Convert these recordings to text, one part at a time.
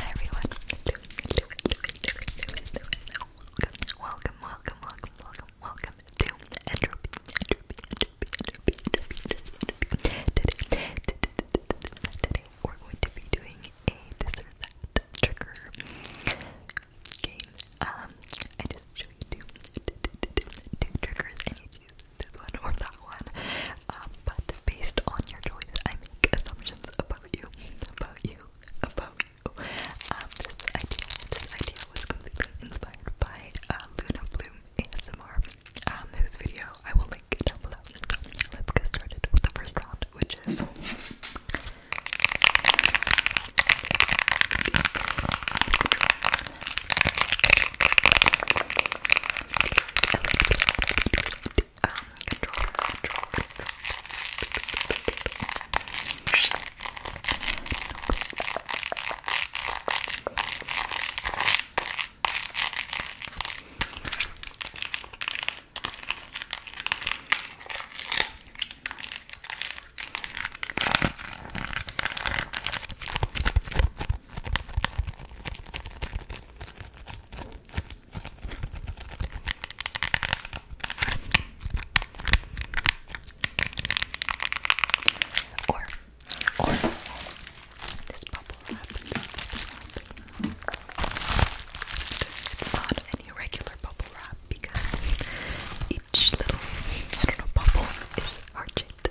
everyone. Welcome, welcome, welcome, welcome, welcome to Entropy, Entropy, Today, we're going to be doing a trigger game. Um, I just show you two triggers and you choose this one or that um, but based on your choice, I make assumptions about you, about you, about you. Um, this idea, this idea was completely inspired by uh, Luna Bloom ASMR, um, whose video I will link down below. Let's get started with the first round, which is um, controller, control, control. Or, or this bubble wrap. It's not any regular bubble wrap because each little, I don't know, bubble is heart shaped.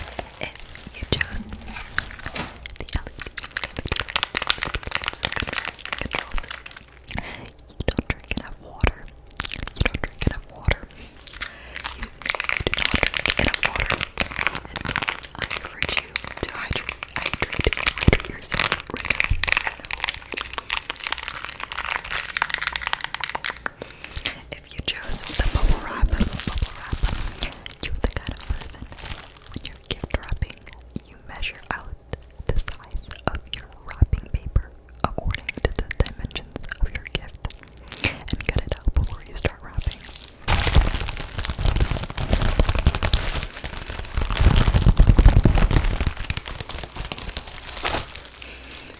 if you chose the LED You don't drink enough water. You don't drink enough water. You do not drink enough water. I encourage you to hydrate, hydrate, hydrate yourself if you chose the bubble wrap, bubble wrap, you're the kind of person when you're gift wrapping, you measure out the size of your wrapping paper according to the dimensions of your gift and cut it out before you start wrapping.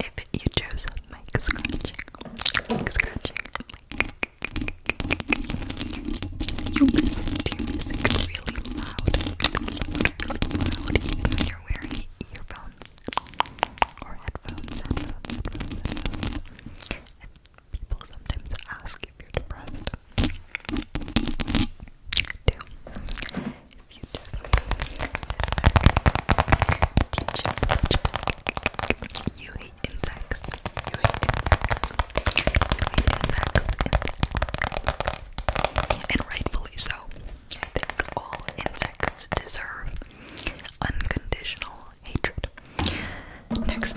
If you chose mic scratching, mic scratching, You listen to music really loud, really loud, even you're wearing earphones or headphones. headphones, People sometimes ask if you're depressed if you just this back peach, peach, peach. you hate insects you hate insects you hate insects. and rightfully so I think all insects deserve unconditional hatred next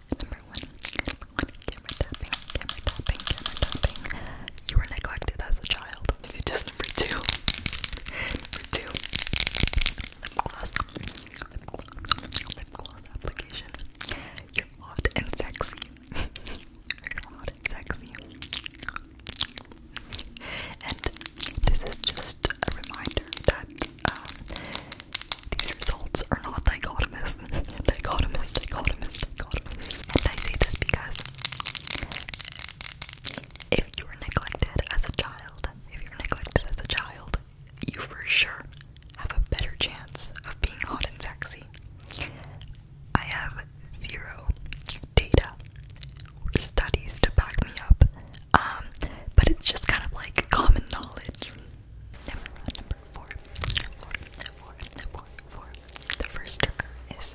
Number one, number one, camera tapping, camera tapping, camera tapping. You were neglected as a child. number two. number two, lip gloss, lip gloss, lip gloss application. You're hot and sexy. You're hot and sexy. And this is just a reminder that um, these results are not dichotomous. dichotomous, dichotomous, dichotomous. And I say this because if you are neglected as a child, if you're neglected as a child, you for sure have a better chance of being hot and sexy. I have zero data or studies to back me up, um, but it's just kind of like common knowledge Number four. The first trigger is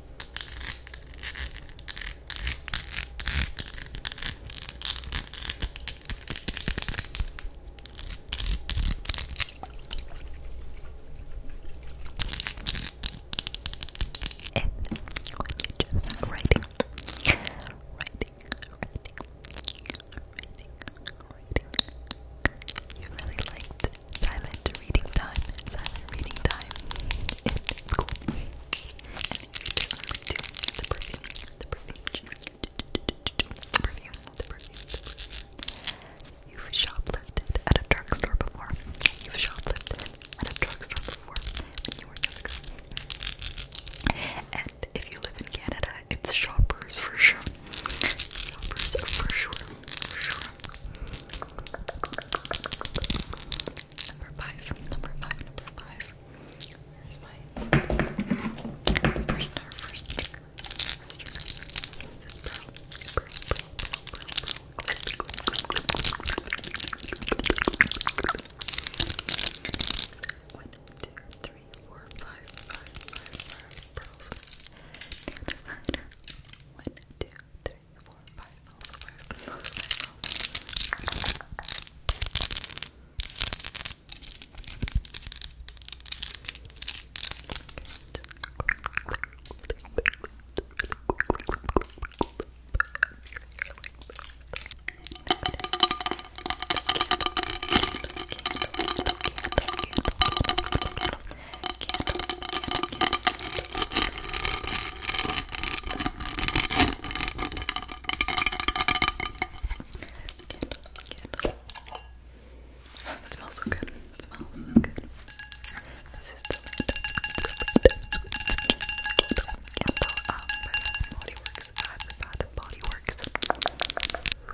choose writing, writing, writing, writing, writing, you really liked silent reading time, silent reading time in school. the perfume, the perfume, the perfume, the perfume, the perfume. You've shoplifted at a drugstore before. You've shoplifted at a drugstore before And if you live in Canada, it's shoppers for sure numbers for For sure. Number five. Number five. Number five. Here's my first number. First sticker. First number. It's bro. One, two, three, four, five, five, five, five pearls. Neither line. One, two, three, four, five. All over. All over. Okay, it smells so good. It smells so good. This is the candle um, by Bath and Body Works. Bath and Body Works.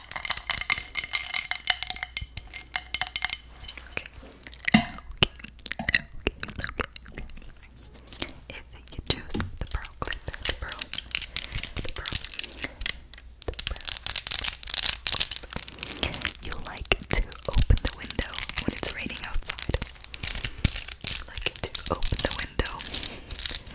Okay. If you choose the pearl clip, the pearl, the pearl, the pearl, you like to open the window when it's raining outside. like to open the window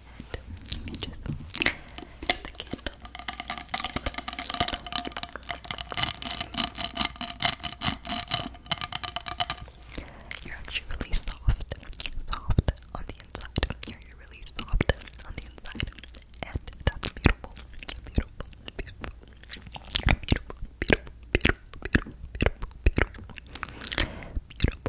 You're actually really soft, soft on the inside. you you're really soft on the inside,